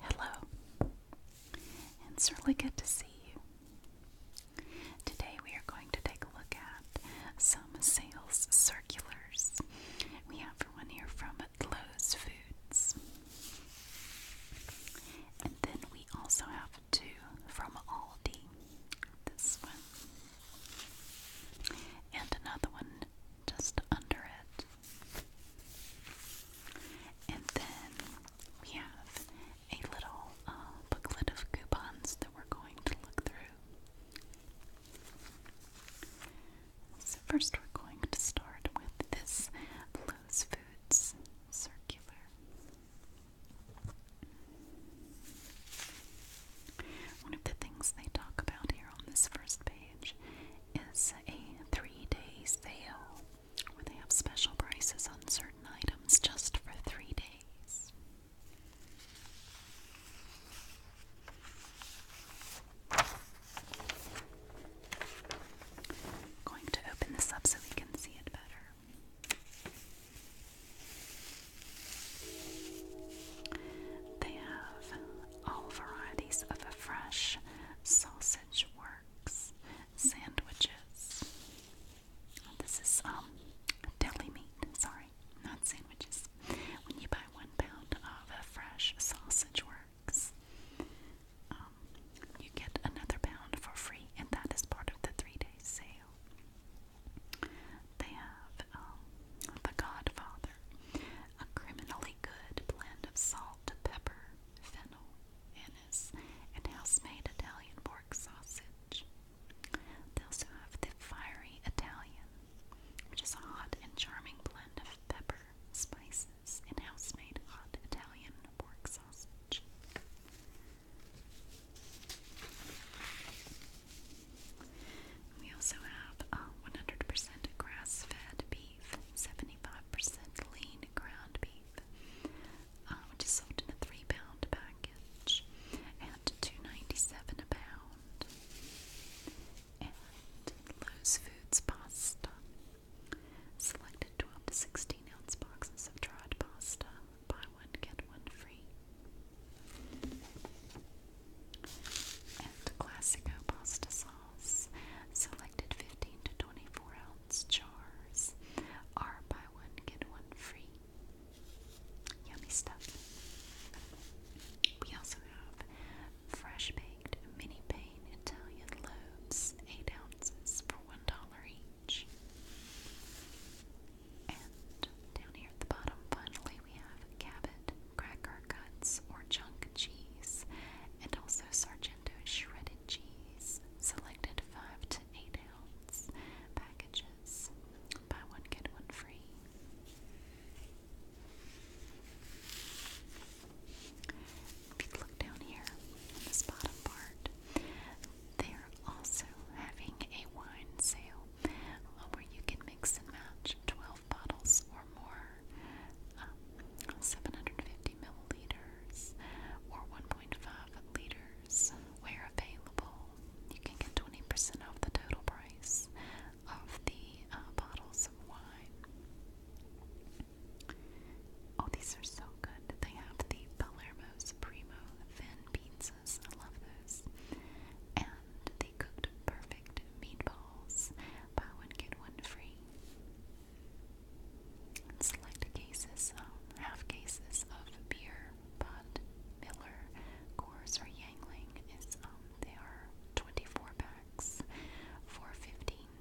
Hello. It's really good to see you. Today we are going to take a look at some sales circulars. We have one here from Lowe's Foods. And then we also have two from Aldi. This one. And another one just under it. And then we have a little uh, booklet of coupons that we're going to look through. So, first, we're going to start with this Lowe's Foods circular. One of the things they talk about here on this first page is a three day sale where they have special prices on certain items just for three days. going to open this up so we can see it better. They have all varieties of a fresh sausage works sandwiches. This is um deli meat. Sorry, not sandwiches. When you buy one pound of a fresh sausage works, um, you get another pound for free, and that is part of the three-day sale. They have um, the Godfather a criminally good blend of salt, pepper, fennel, anise, and house-made Italian pork sausage. They also have the fiery Italian, which is hot and charming blend of pepper, spices, and house-made hot Italian pork sausage. We also have a uh, 100% grass-fed beef beef, 75% lean ground beef, uh, which is sold in a three pound package at $2.97 a pound. And Lowe's Foods pasta. Selected 12 to 16 ounce boxes of dried pasta. Buy one, get one free and Classico pasta sauce, selected 15 to 24 ounce jars, are buy one, get one free. Yummy stuff. We also have fresh baked mini pane Italian loaves, 8 ounces for $1 each. And down here at the bottom, finally, we have Cabot cracker cuts, or chunk cheese, and also Sargento shredded cheese, selected 5 to 8 ounce packages. Buy one, get one free. If you look down here in this bottom part, they're also having a wine sale uh, where you can mix and match 12 bottles or more, um, 750 milliliters, or 1.5 liters. Where available, you can get 20 off the total price of the uh, bottles of wine. Oh, these are so good. They have the Palermo Supremo thin pizzas. I love those and the cooked perfect meatballs, buy one, get one free. And select cases, um, half cases of beer, Bud, Miller, Coors, or Yangling is um they are 24 packs for $15.99.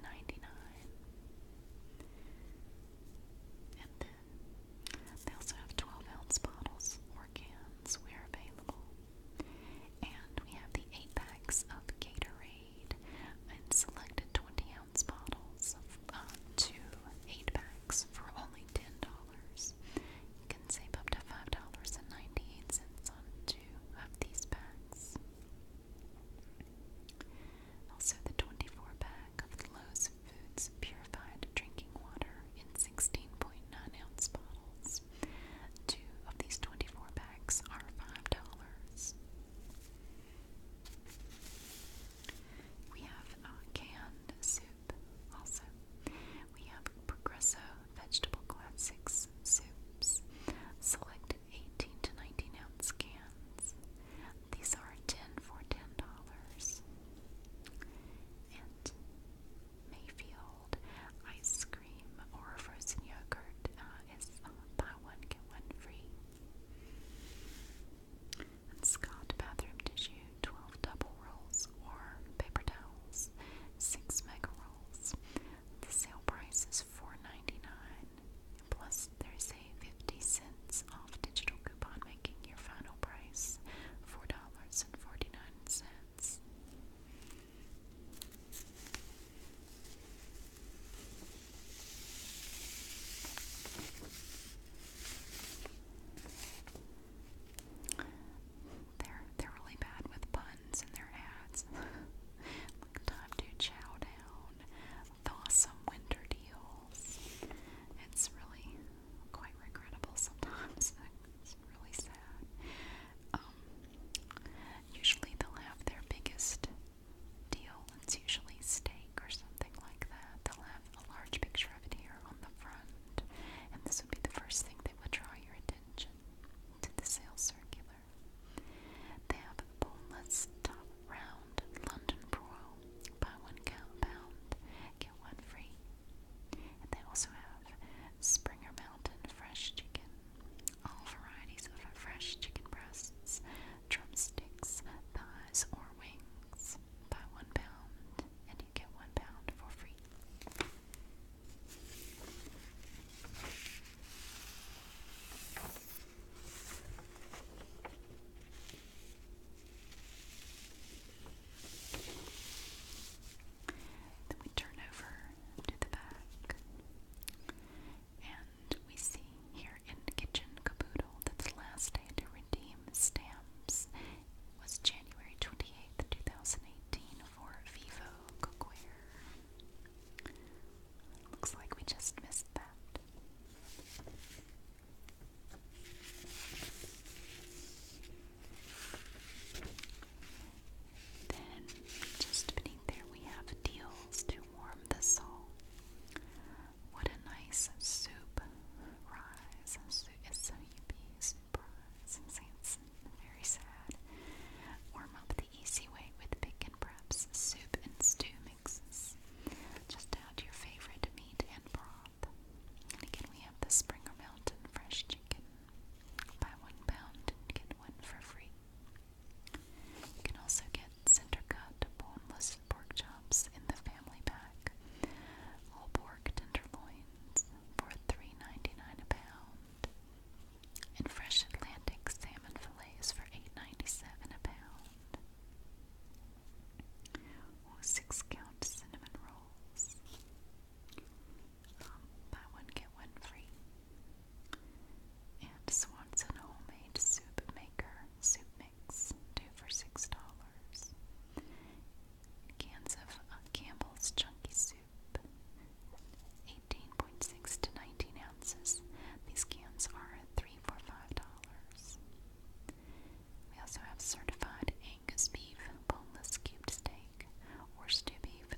And then they also have 12 ounce bottles or cans where available. And we have the 8 packs of Gatorade in selected 20 ounce bottles, of, uh, two 8 packs for only $10. You can save up to $5.98 on two of these packs. Also, the 24 pack of Lowe's Foods purified drinking water in 16.9 ounce bottles. Two of these 24 packs are $5. We have canned soup also. We have Progresso Vegetable Classics soups, select 18 to 19 ounce cans. These are 10 for $10. And Mayfield ice cream or frozen yogurt uh, is uh, buy one, get one free. Scott bathroom tissue, 12 double rolls or paper towels, 6 mega rolls. The sale price is 4 plus there's a 50 cents off digital coupon making your final price $4.49. They're they're really bad with puns in their ads. like time to chow down, Thawsome winter deals. It's really quite regrettable sometimes. it's really sad. Um, usually they'll have their biggest deal. It's usually steak or something like that. They'll have a large picture of it here on the front, and this would be the first thing that would draw your attention to the sales circular. They have boneless top round London broil. Buy one pound, get one free. And they also have Springer Mountain fresh chicken all varieties of fresh chicken breasts, drumsticks, thighs, or wings by one pound, and you get one pound for free. Then we turn over to the back and we see here in the kitchen caboodle that last day to redeem stamps was January 28th, 2018 for Vivo Cookware. Looks like we just missed that. Then, just beneath there, we have deals to warm the soul. What a nice soup rise. Soup is so yippee, soup rise. It's very sad. Warm up the easy way with pick and preps, soup and stew mixes. Just add your favorite meat and broth. And again, we have the Springer Mountain fresh chicken. Buy one pound and get one for free. You can also get center cut boneless pork chops in the family pack. All pork tenderloins for $3.99 a pound. And fresh Atlantic salmon fillets for $8.97 a pound. Or six count cinnamon rolls um, buy one, get one free. And Swanson Homemade Soup Maker Soup Mix, two for $6. Cans of uh, Campbell's Chunky Soup, 18.6 to 19 ounces. These cans are three for $5. We also have certified Angus beef boneless cubed steak or stew beef for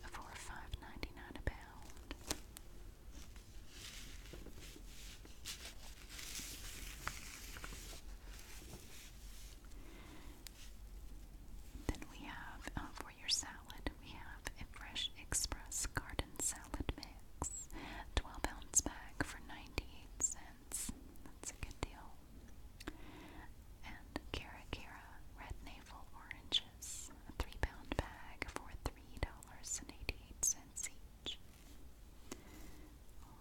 Then we have uh, for your salad, we have a fresh express garden salad mix, twelve ounce bag for ninety eight cents. That's a good deal. And Kara Kara red navel orange purchase a three pound bag for $3.88 each.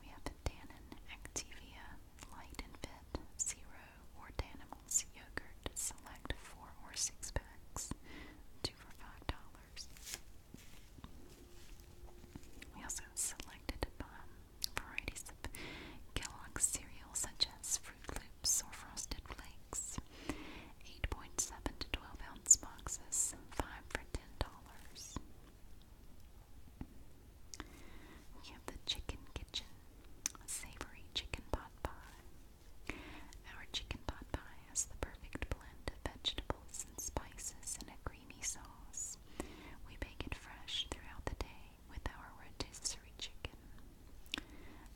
We have Dannon Activia Light and Fit Zero or Danimals Yogurt Select 4 or 6 packs, 2 for $5. We also selected um, varieties of Kellogg's cereal such as Fruit or frosted flakes. 8.7 to 12 ounce boxes, 5 for $10. We have the Chicken Kitchen Savory Chicken Pot Pie. Our chicken pot pie has the perfect blend of vegetables and spices in a creamy sauce. We bake it fresh throughout the day with our rotisserie chicken.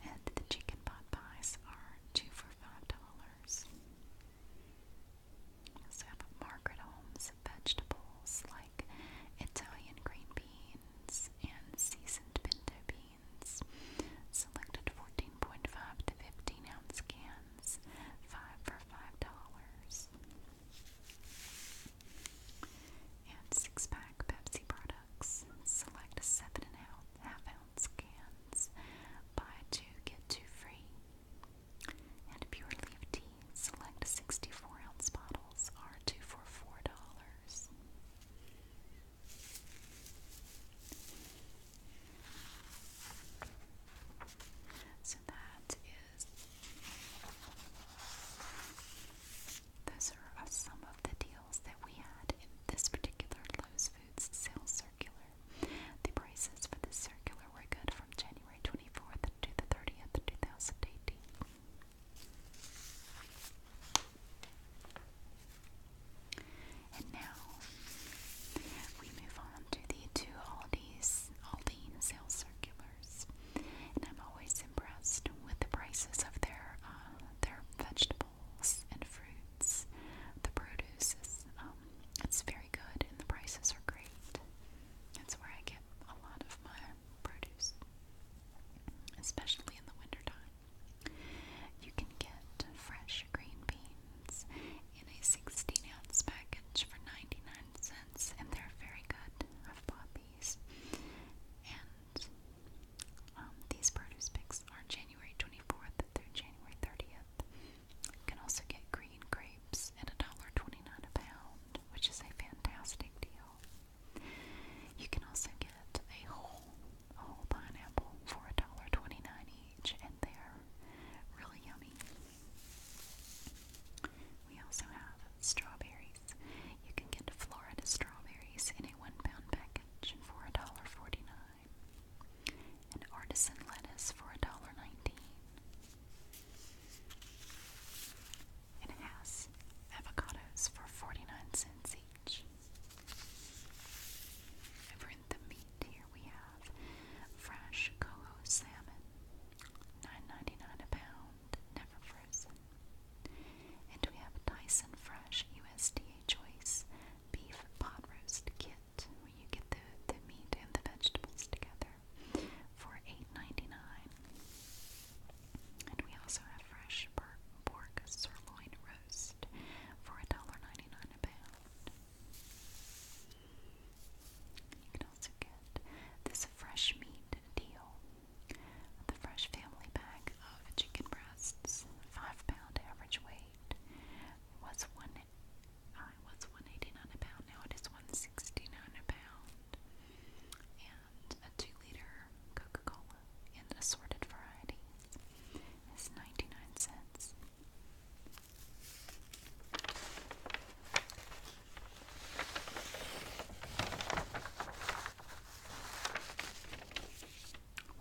And the chicken pot pies are two for five dollars. So Margaret Holmes vegetables like Italian green beans and seasoned pinto beans. Selected 14.5 to 15 ounce cans, five for five dollars and six pack Pepsi products. Select seven and a half ounce cans. Buy two, get two free. And pure leaf tea. Select 64 ounce bottles are two for four dollars. So that is those are uh, some of the deals that we had in this particular Lowe's Foods sales circular. The prices for this circular were good from January 24th to the 30th, 2018. And now we move on to the two Aldi's Aldine sales circulars and I'm always impressed with the prices of their uh, their vegetables and fruits. The produce is um, it's very good, and the prices are great. That's where I get a lot of my produce, especially in the wintertime. You can get fresh green beans in a 16 ounce package for 99 cents, and they're very good. I've bought these, and um, these produce picks are January 24th through January 30th. You can also get green grapes at twenty nine a pound, which is a fantastic deal. You can also get a whole, a whole pineapple for $1.29 each, and they're really yummy. We also have strawberries. You can get Florida strawberries in a one pound package for a $1.49 and artisan lettuce for $1.19. It has avocados for 49 cents each. Over the meat here we have fresh coho salmon, 9 a pound never frozen. And we have Dyson Fresh USDA Choice Beef Pot Roast Kit, where you get the, the meat and the vegetables together for eight ninety nine. And we also have fresh pork sirloin roast for a dollar ninety nine a pound. You can also get this fresh meat deal the fresh family pack of chicken breasts, five pound average weight, was one. Uh, was one eighty nine a pound. Now it is one sixty nine a pound. And a two liter Coca Cola in assorted varieties is ninety nine cents.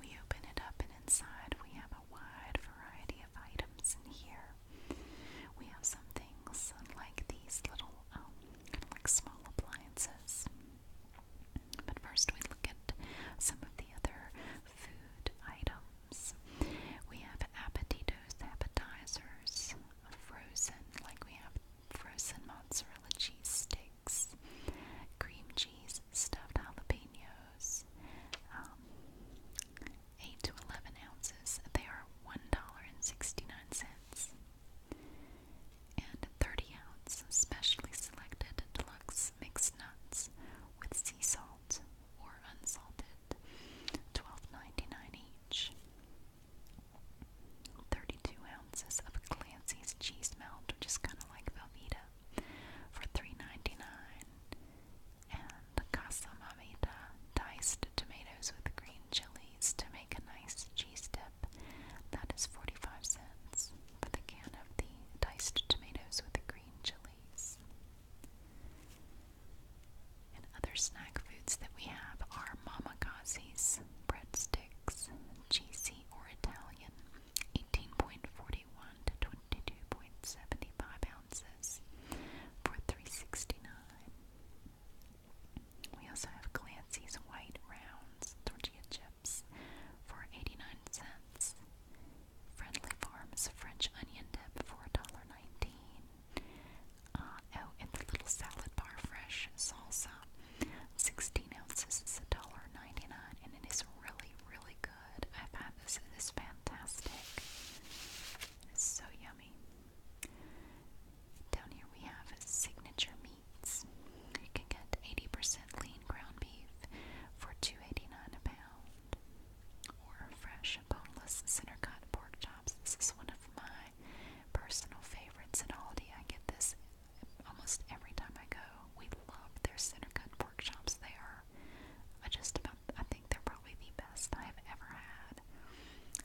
We open it up, and inside we have a wide variety of items in here. We have some things like these little, um, like small appliances. But first, we look at some of the other food items. We have appetitos, appetizers, frozen, like we have frozen mozzarella cheese sticks flakes, cream cheese, stuffed jalapenos, um, 8 to 11 ounces. They are $1.69. And 30 ounce specially selected deluxe mixed nuts with sea salt or unsalted, $12.99 each. 32 ounces of Clancy's cheese melt, which is kind of like Velveeta, for $3.99. And Casa diced tomatoes with green chilies to make a nice cheese dip. That is 45 cents for the can of the diced tomatoes with the green chilies. And other snack foods that we have are Mamagazzi's breadstick GC or Italian, 18.41 to 22.75 ounces for 369. We also have Glancy's White Rounds tortilla chips for 89 cents. Friendly Farms French Onion Dip for $1.19. Uh, oh, and the little salad bar fresh salsa 16 ounces is $1.99 and it is really, really good. I've had this, it is fantastic. It's so yummy. Down here we have signature meats. You can get 80% lean ground beef for $2.89 a pound. Or fresh boneless center cut pork chops. This is one of my personal favorites at Aldi. I get this almost every time I go. We love their center cut pork chops. They are uh, just about, I think they're probably the best I have ever had.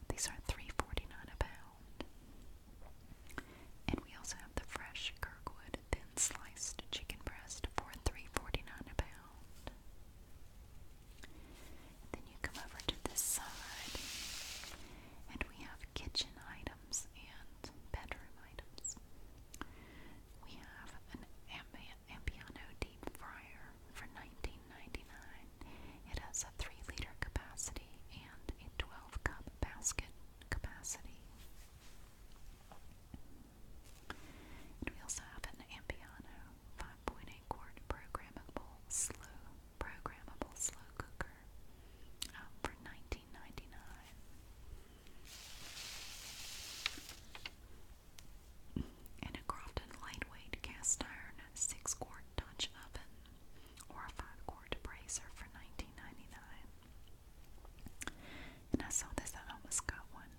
These are three forty-nine a pound. And we also have the fresh Kirkwood thin sliced chicken breast for 3 a pound. then you come over to this side, and we have kitchen items and bedroom items. We have an Ambi deep fryer for 19 It has a 3 liter capacity and a 12 cup basket capacity. we also have an Ambiano 5.8 quart programmable slew programmable slow cooker um, for $19.99. lightweight cast iron 6 quart Dutch oven or a 5 quart brazier for 19 And I saw this, I almost got one.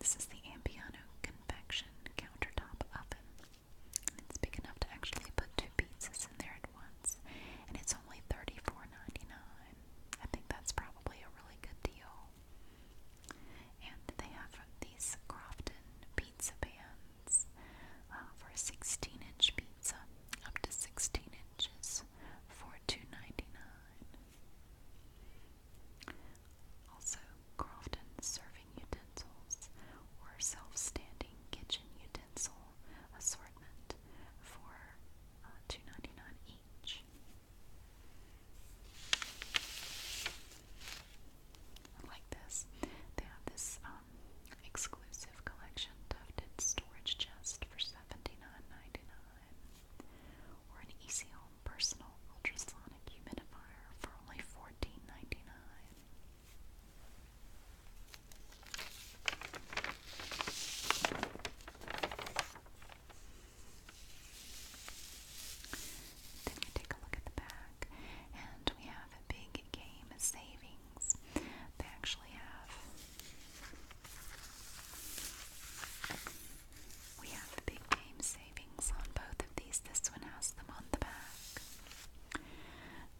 This is the Ampiano Convection Countertop Oven it's big enough to actually put two pizzas in there at once. And it's only $34.99. I think that's probably a really good deal. And they have these Crofton pizza pans uh, for 16 inch pizza, up to 16 inches, for $2.99. Also, Crofton serving utensils utensils or self-standing kitchen utensil assortment for uh, each. like this. They have this um, exclusive collection tufted storage chest for 79 or an Easy Home personal ultrasonic humidifier for only 14 then we take a look at the back, and we have a big game savings. They actually have. We have the big game savings on both of these. This one has them on the back.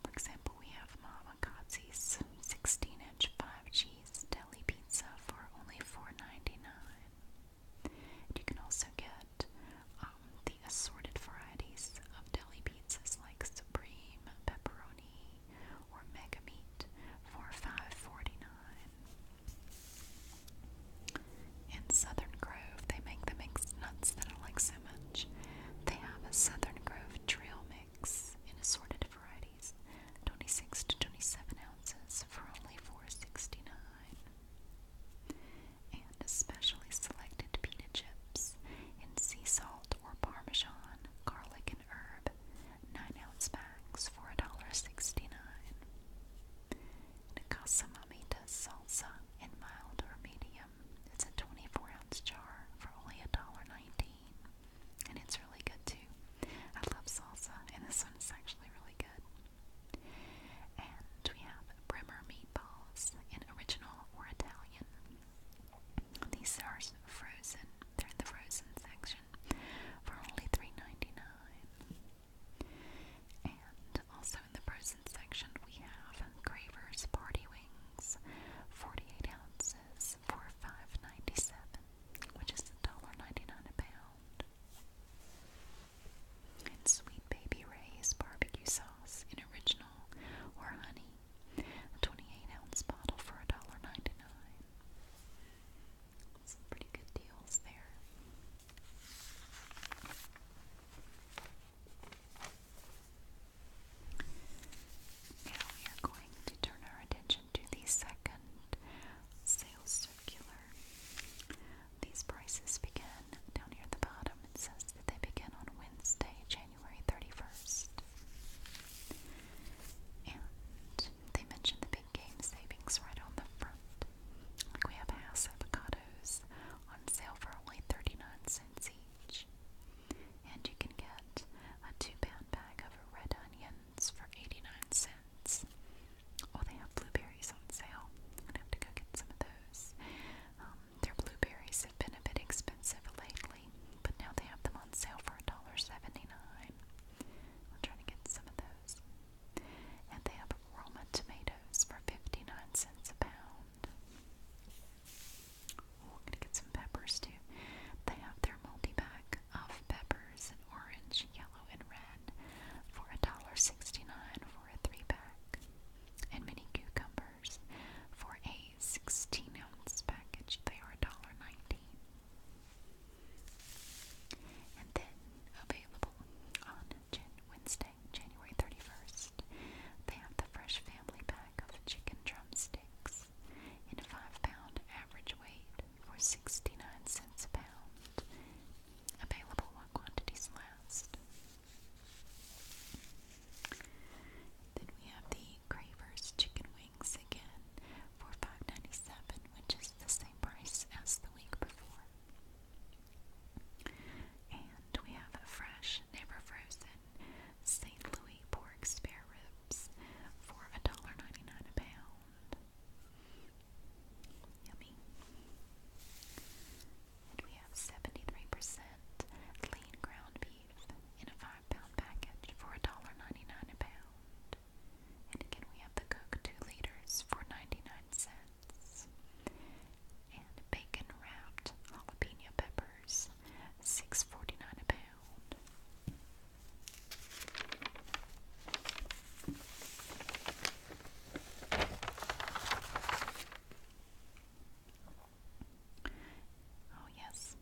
For example, we have Mama Kazi's 16 inch 5 cheese deli pizza for only $4.99. you can also get um, the assorted varieties of deli pizzas like Supreme, Pepperoni, or Mega Meat for 5 In Southern Grove, they make the mixed nuts that Alexa they have a Southern Grove trail mix in assorted varieties, 26 to 27 ounces for only $4.69. And especially selected pita chips in sea salt or parmesan, garlic, and herb, 9 ounce bags for $1.69. And Casa amita salsa in mild or medium. It's a 24 ounce jar for only $1.19. And it's really good too. I love salsa, and this one is actually really good. And we have Brimmer meatballs in original or Italian. These are frozen, they're in the frozen section for only $3.99. And also in the frozen medicine section, we have Graver's Party Wings, 48 ounces for $5.97, which is $1.99 a pound. And Sweet Baby Ray's Barbecue Sauce in Original or Honey, a 28 ounce bottle for $1.99. Some pretty good deals there. Now we are going to turn our attention to the second sales circular. These prices begin down here at the bottom. It says that they begin on Wednesday, January 31st. And they mention the big game savings right on the front. we have Hass avocados on sale for only 39 cents each each. And you can get a two pound bag of red onions for 89 cents. Oh, they have blueberries on sale. I'm gonna have to go get some of those. Um, their blueberries have been a bit expensive lately, but now they have them on sale for $1.79. I'll try to get some of those. And they have Roma tomatoes for 59 cents a pound. Ooh, I'm gonna get some peppers too. They have their multi-pack of peppers in orange, yellow, and red for $1.69 for a three-pack. And mini cucumbers for a 16-ounce package. They are $1.19. And then available on Wednesday January 31st, they have the fresh family pack of chicken drumsticks in a 5 pound average weight for 69 cents a pound. Available while quantities last. Then we have the Cravers chicken wings again for five ninety seven, which is the same price as the week before. And we have a fresh, never frozen St. Louis pork spare ribs for $1.99 a pound. Yummy. And we have 73% lean ground beef in a 5 pound package for $1.99 a pound. And again, we have the Coke 2 liters for 99 cents and bacon wrapped jalapeno peppers, six forty nine a pound. Oh yes,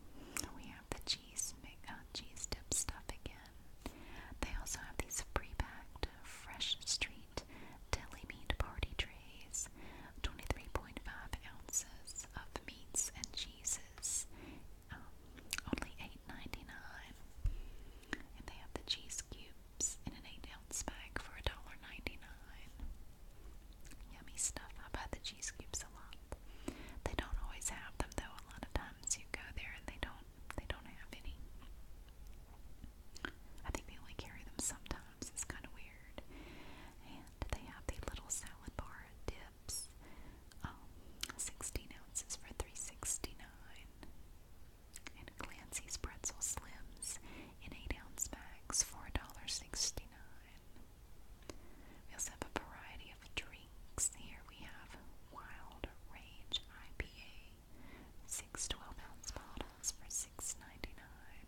we have the cheese uh, cheese dip stuff again. They also have these pre uh, fresh street deli meat party trays, 23.5 ounces of meats and cheeses, um, only $8.99. And they have the cheese cubes in an 8 ounce bag for $1.99. Yummy stuff. I've had the cheese cubes a lot. They don't always have them though. A lot of times you go there and they don't they don't have any. I think they only carry them sometimes sometimes. It's kind of weird. And they have the little salad bar dips. Um, 16 ounces for $3.69. And Clancy's Pretzel Slims in 8 ounce bags, $4.69. We also have a variety of drinks. Here we have Wild Rage IPA, six 12 ounce bottles for $6.99.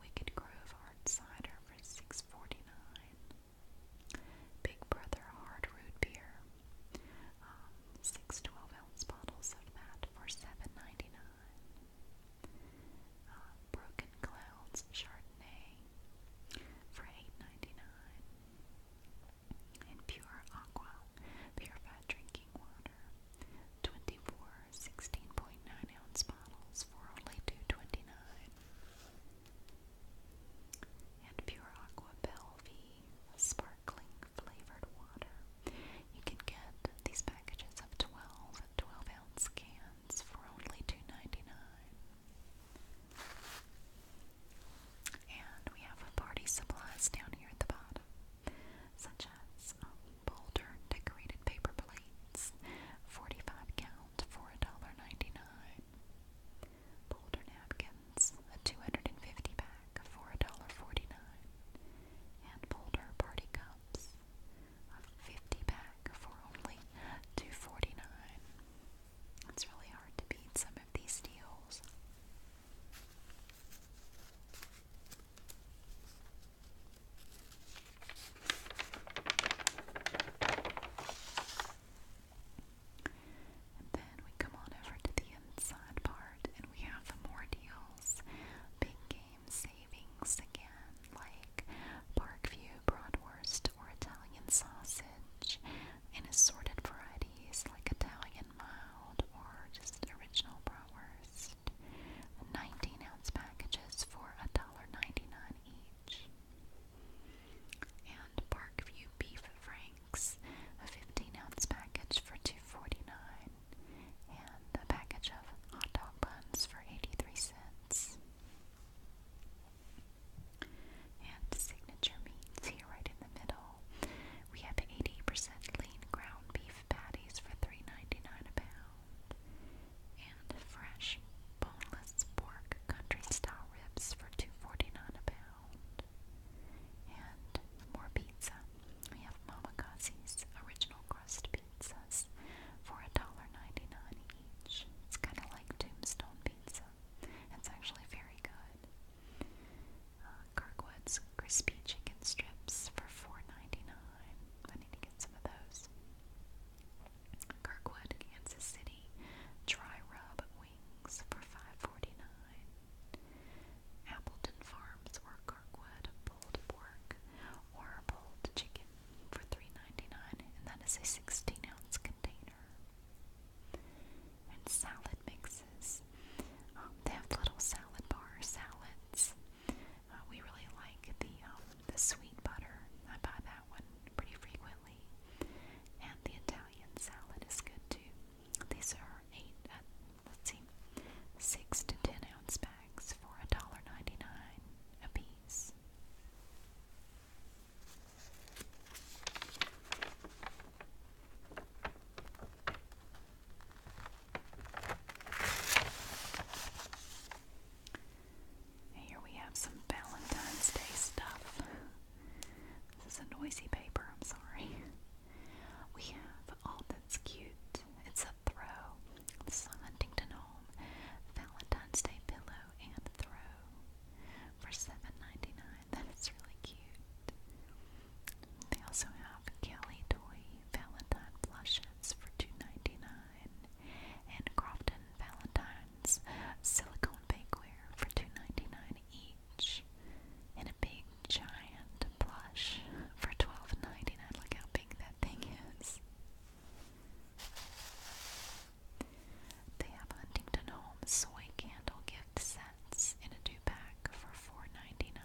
Wicked Grove Hard Cider for six forty nine. Big Brother Hard Root Beer. Um, six 12 ounce bottles of that for seven ninety nine. Uh, Broken Clouds Chardonnay for eight ninety nine. And Pure Aqua, purified drinking water 24 16.9 ounce bottles for only two twenty-nine, And Pure Aqua Belvie sparkling flavored water. You can get these packages of 12 12 ounce cans for only two ninety-nine, And we have our party supplies down here at the bottom such as um, boulder decorated paper plates, 45 count for $1.99. Boulder napkins, a 250 pack for $1.49. And Boulder party cups, a 50 pack for only 2 It's really hard to beat some of these deals. And then we come on over to the inside part and we have more deals. Big game savings again, like Parkview Broadwurst or Italian sausage in assorted varieties like Italian mild or just original Brewers. 19 ounce packages for $1.99 each. And Parkview Beef Franks, a 15 ounce package for 2 And a package of hot dog buns for 83 cents. And signature meats here right in the middle. We have 80% lean ground beef patties for three ninety nine a pound and fresh boneless pork country style ribs for $2.49 a pound. And more pizza. We have Mamakasi's original crust pizzas for $1.99 each. It's kind of like tombstone pizza. It's actually very good. Uh, Kirkwood's crispy chicken strips for $4.99. I need to get some of those. Kirkwood, Kansas City, dry rub wings for 5 Appleton Farms or Kirkwood pulled pork or pulled chicken for 3 and that is a 16 ounce container. And salad mixes. Um, they have little salad bar salads uh, we really like the um, the sweet butter. I buy that one pretty frequently, and the Italian salad is good too. These are eight. Uh, let's see, six to ten ounce bags for a dollar ninety nine a piece. Here we have some Valentine's Day stuff. This is a noisy paper, I'm sorry. We have oh, All Cute. It's a throw. This is a Huntington Home Valentine's Day pillow and throw for $7.99. That is really cute. They also have Kelly Toy Valentine blushes for $2.99 and Crofton Valentine's silicone bakeware for $2.99 each. And a big giant blush for $12.99. Look how big that thing is. They have Huntington Home soy candle gift sets in a two pack for $4.99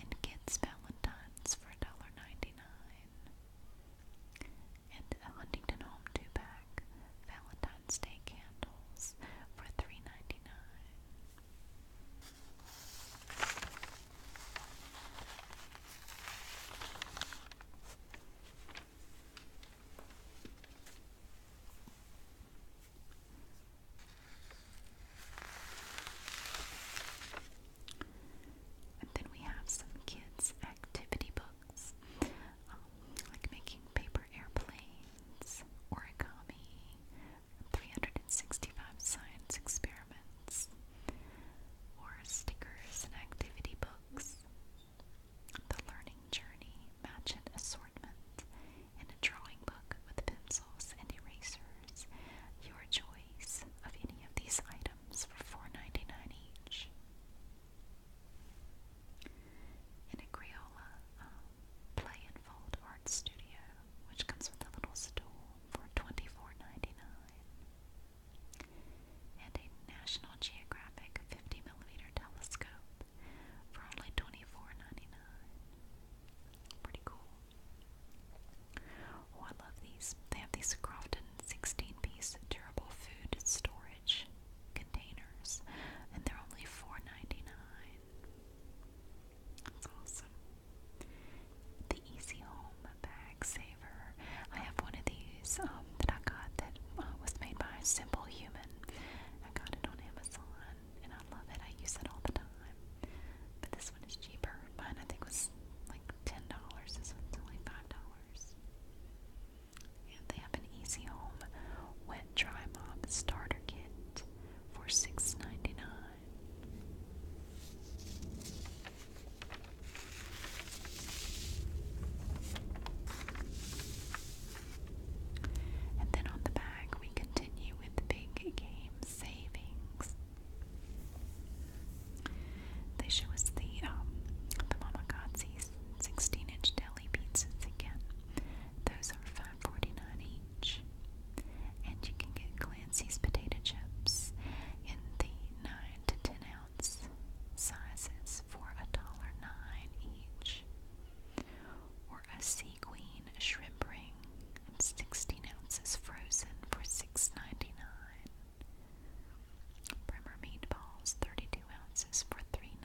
and kids' valentines for $1.99. And a Huntington Home 2 pack Valentine's Day candles for 3 and then we have some kids' activity books, um, like making paper airplanes, origami, 365 science experiments, or stickers and activity books. The Learning Journey Match and Assortment, and a drawing book with pencils and erasers. Your choice of any of these items for $4.99 each. In a Crayola um, Play and Fold Art Studio, which comes with a little stool for 24 And a National Geographic 50mm telescope for only 24 Pretty cool. Oh, I love these. They have these Crofton 16 piece durable food storage containers, and they're only $4.99. That's awesome. The Easy Home Bag Saver. I have one of these um, that I got that uh, was made by Simple Human. I got it on Amazon, and I love it. I use it all the time. But this one is cheaper. Mine I think was like ten dollars. This one's only five dollars. And they have an Easy Home Wet Dry Mop Starter Kit for six ninety nine. And then on the back, we continue with big game savings. They show us the um, the Mamagazzi's 16-inch deli pizzas again. Those are $5.49 each. And you can get Clancy's potato chips in the 9 to 10 ounce sizes for $1.09 each. Or a Sea Queen shrimp ring 16 ounces frozen for $6.99. meatballs, 32 ounces for $3.99.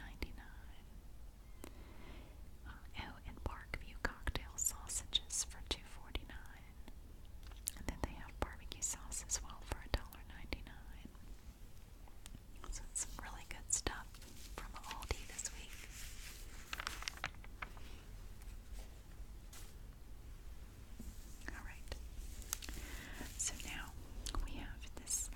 Uh, oh, and Parkview cocktail sausages for $2.49. And then they have barbecue sauce as well for $1.99. So it's some really good stuff from Aldi this week. Alright. So now we have this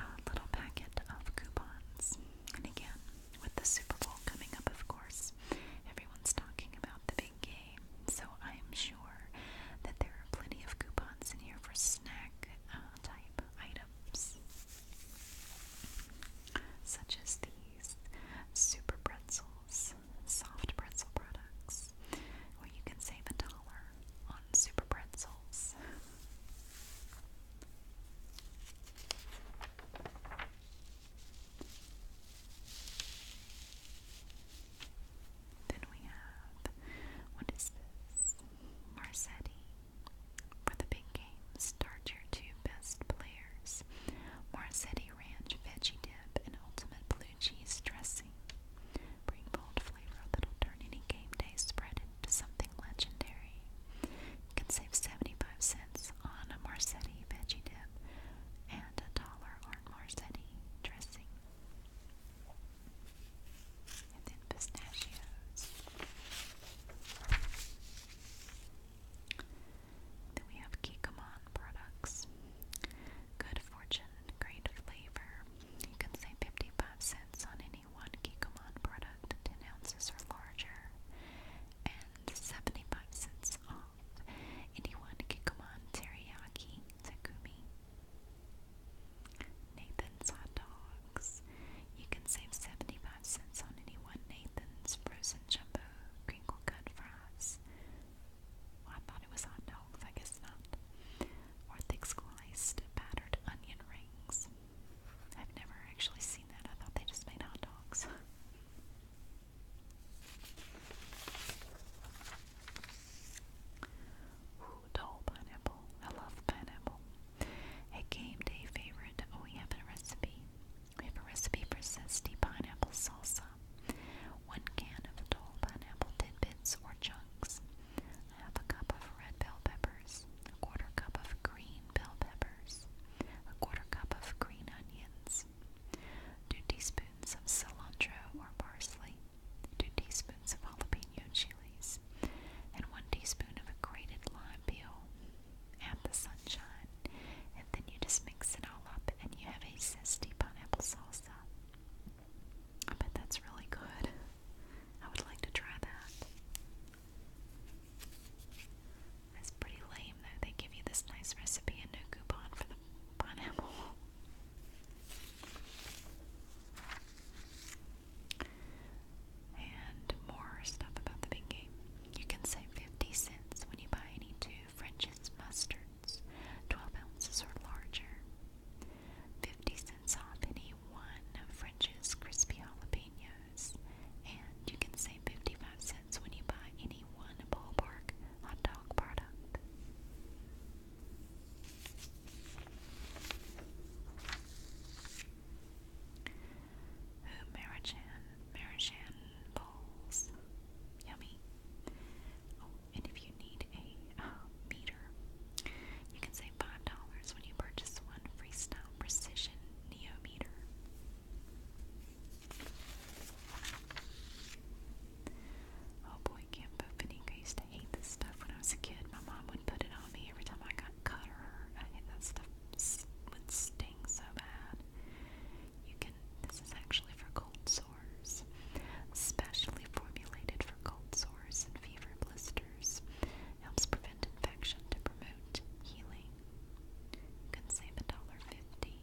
uh, little packet of coupons. And again, with the Super Bowl coming up, of course, everyone's talking about the big game. So I'm sure that there are plenty of coupons in here for snack uh, type items such as these super pretzels, soft pretzel products, where you can save a dollar on super pretzels. Then we have, what is this? Marzetti with a big start your two best players. Marzetti Ranch Veggie Dip and Ultimate Blue Cheese Dressing. Bring bold flavor that'll turn any game day spread into something legendary. You can save 75 cents on a Marzetti Veggie Dip and a dollar on Marzetti Dressing. then pistachios. Then we have Kikkoman products. Good fortune and great flavor. You can save 55 cents on any one Kikkoman product 10 ounces or larger. And 75 cents off any one Kikkoman teriyaki takumi. Nathan's hot dogs. You can save 75 cents on any one Nathan's frozen jumbo crinkle cut fries. I thought it was hot dogs, I guess not. Or thick sliced battered onion rings. I've never actually seen that. I thought they just made hot dogs. Ooh, dole pineapple. I love pineapple. A game day favorite. Oh, we have a recipe. We have a recipe for zesty pineapple salsa. One can of adult pineapple tidbits or chunks. Half a cup of red bell peppers. A quarter cup of green bell peppers. A quarter cup of green onions. Two teaspoons of cilantro or parsley. Two teaspoons of jalapeno chilies. And one teaspoon of a grated lime peel and the sunshine, and then you just mix it all up and you have a zesty pineapple salsa. I bet that's really good. I would like to try that. That's pretty lame though. They give you this nice recipe and no coupon for the pineapple. And more stuff about the big game. You can save 50 cents when you buy any two French's mustards, 12 ounces or larger. 50 cents off any one of French's crispy jalapenos, and you can save 55 cents when you buy any one ballpark hot dog product. Ooh, Marichan, Marichan balls. Yummy. Oh, and if you need a uh, meter, you can save $5 when you purchase one Freestyle Precision Neo meter. Oh boy, Camp Finico used to hate this stuff when I was a kid. My mom would put it on me every time I got cut or hurt. that stuff. Would stay itching so bad. You can this is actually for cold sores. Specially formulated for cold sores and fever blisters. Helps prevent infection to promote healing. can save $1.50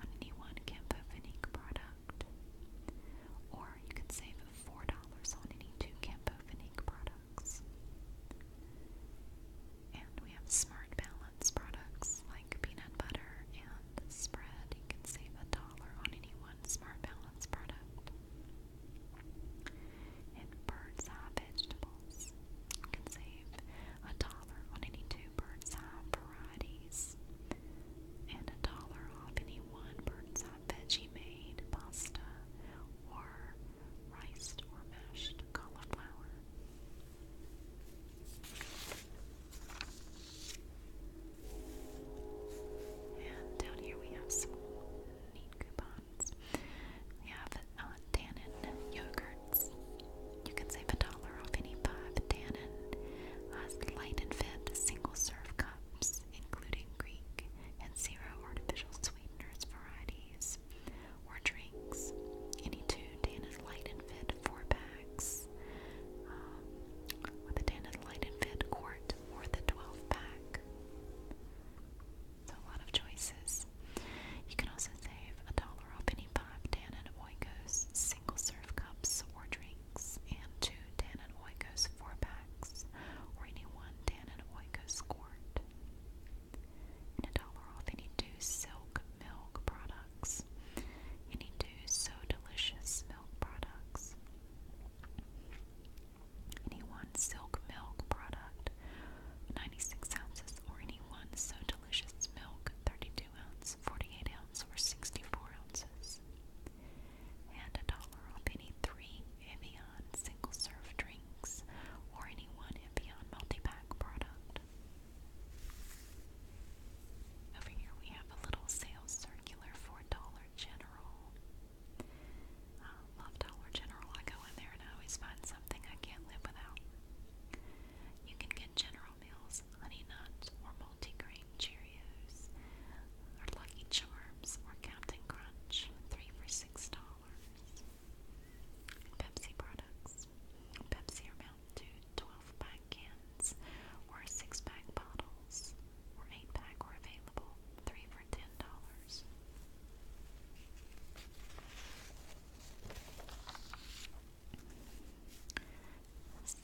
on any one Campofinique product. Or you can save $4 on any two Campofinique products. And we have smart balance products like peanut butter and spread. You can save a dollar on any one smart balance product. And bird's eye vegetables. can save a dollar on any two bird's eye varieties. And a dollar off any one bird's eye veggie made pasta or riced or mashed cauliflower. And down here we have some neat coupons. We have uh, yogurts. You can save a dollar off any five Dannon uh, light and fit single serve cups, including Greek and zero artificial sweeteners varieties cigars or drinks. Any two Tanned Light and Fit four packs um, with a Tanned Light and Fit quart or the 12 pack. So a lot of choices. You can also save a dollar off any five Tanned Oikos single serve cups or drinks and two Tanned Oikos four packs or any one Tanned Oikos quart a dollar off any two silk milk products, any two so delicious milk products, any one silk milk product, 96 ounces, or any one so delicious milk, 32 ounces, 48 ounces, or 64 ounces. And a dollar off any three Evian single serve drinks drinks, or any one and beyond multi-pack product. Over here we have a little sales circular for Dollar General. I love Dollar General. I go in there and I always find something I can't live without. You can get General Mills, Honey Nut, or Multigrain Cheerios, or Lucky Charms, or Captain Crunch, three for six dollars. Pepsi products. Pepsi are Mountain Dew 12 pack cans or 6 pack bottles or 8 pack are available. 3 for $10.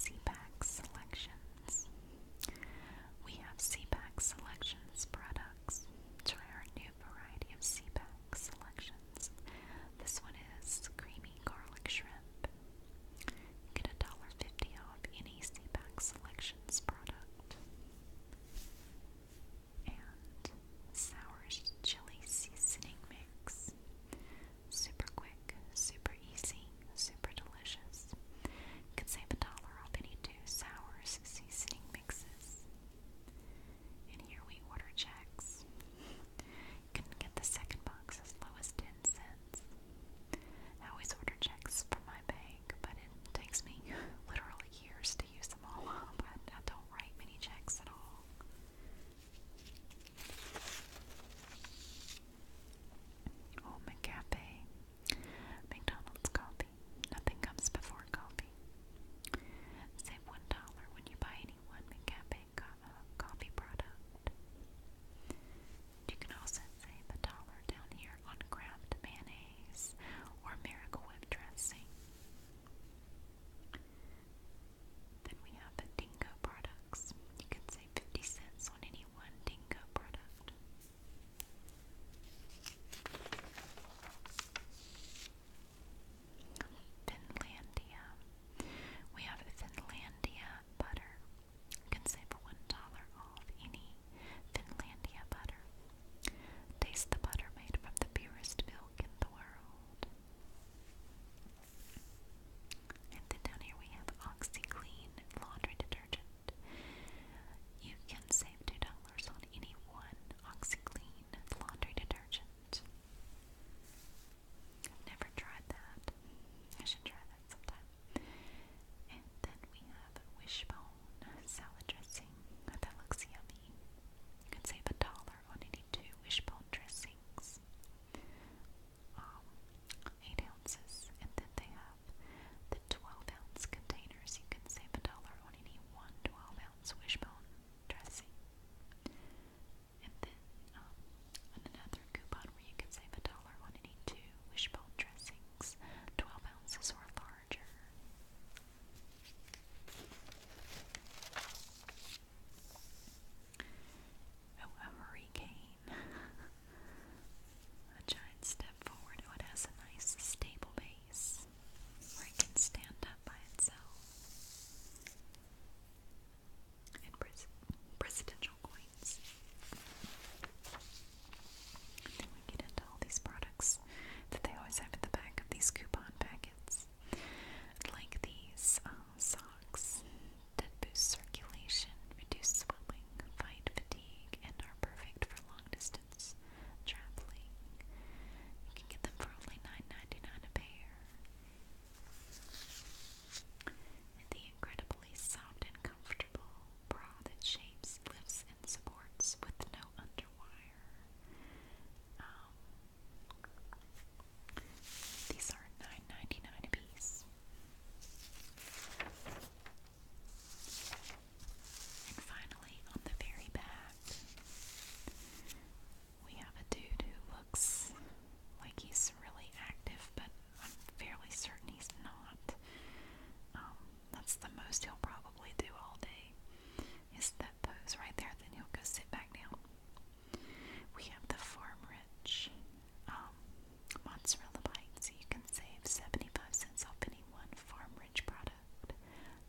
CPAC Selections. We have CPAC Selections products. Try our new variety of sea pack selections. This one is creamy garlic shrimp. You get $1.50 off any sea pack selections product. And sour chili seasoning mix. Super quick, super easy, super delicious. can save a dollar off any two sours seasoning mixes. And here we order checks. Couldn't get the second box as low as 10 cents. I always order checks from my bank, but it takes me literally years to use them all up. I, don't write many checks at all. Oh, McCafe. McDonald's coffee. Nothing comes before coffee. Save one dollar when you buy any one McCafe uh, coffee product. You can also save a dollar down here on Kraft mayonnaise or Miracle Whip dressing. Then we have the Dingo products. You can save 50 cents on any one Dingo product. Finlandia. We have Finlandia butter. You can save $1 off any Finlandia butter. Taste the butter made from the purest milk in the world. And then down here we have OxyClean laundry detergent. You can save $2 on any one OxyClean laundry detergent. never tried that. I should try that sometime. And then we have Wishbone salad dressing. That looks yummy. You could save a dollar on any two Wishbone dressings. Um, 8 ounces. And then they have the 12 ounce containers. You can save a dollar on any one ounce Wishbone dressing. And then um, on another coupon where you can save a dollar on any two wishbone dressings, 12 ounces or larger. Oh, a hurricane. a giant step forward. Oh, it has a nice stable base where it can stand up by itself. And presidential coins. then we get into all these products that they always have at the back of these coupon packets, like these uh, socks that boost circulation, reduce swelling, fight fatigue, and are perfect for long distance traveling. You can get them for only 9 a pair. And the incredibly soft and comfortable bra that shapes, lifts, and supports with no underwire. Um, these are 9 a piece. And finally, on the very back, we have a dude who looks like he's really active, but I'm fairly certain he's not. Um, that's the most he'll probably do all day, is that pose right there, then he'll go sit back down. We have the farm rich um, mozzarella bite, so you can save 75 cents off any one farm rich product,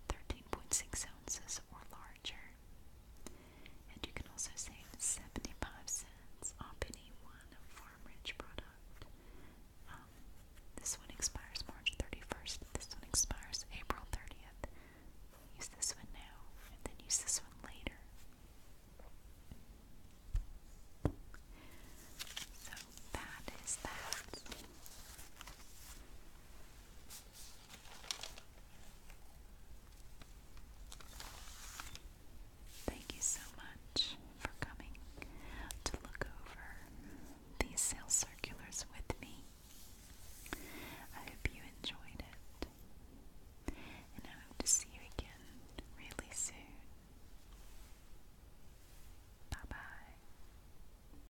13 9.6 ounces or larger. And you can also save 75 cents on any one Farm Rich product. Um, this one expires March 31st, this one expires April 30th. Use this one now, and then use this one later. So that is that. Thank you so much for coming to look over these sales circulars with me. I hope you enjoyed it. And I hope to see you again really soon. Bye bye.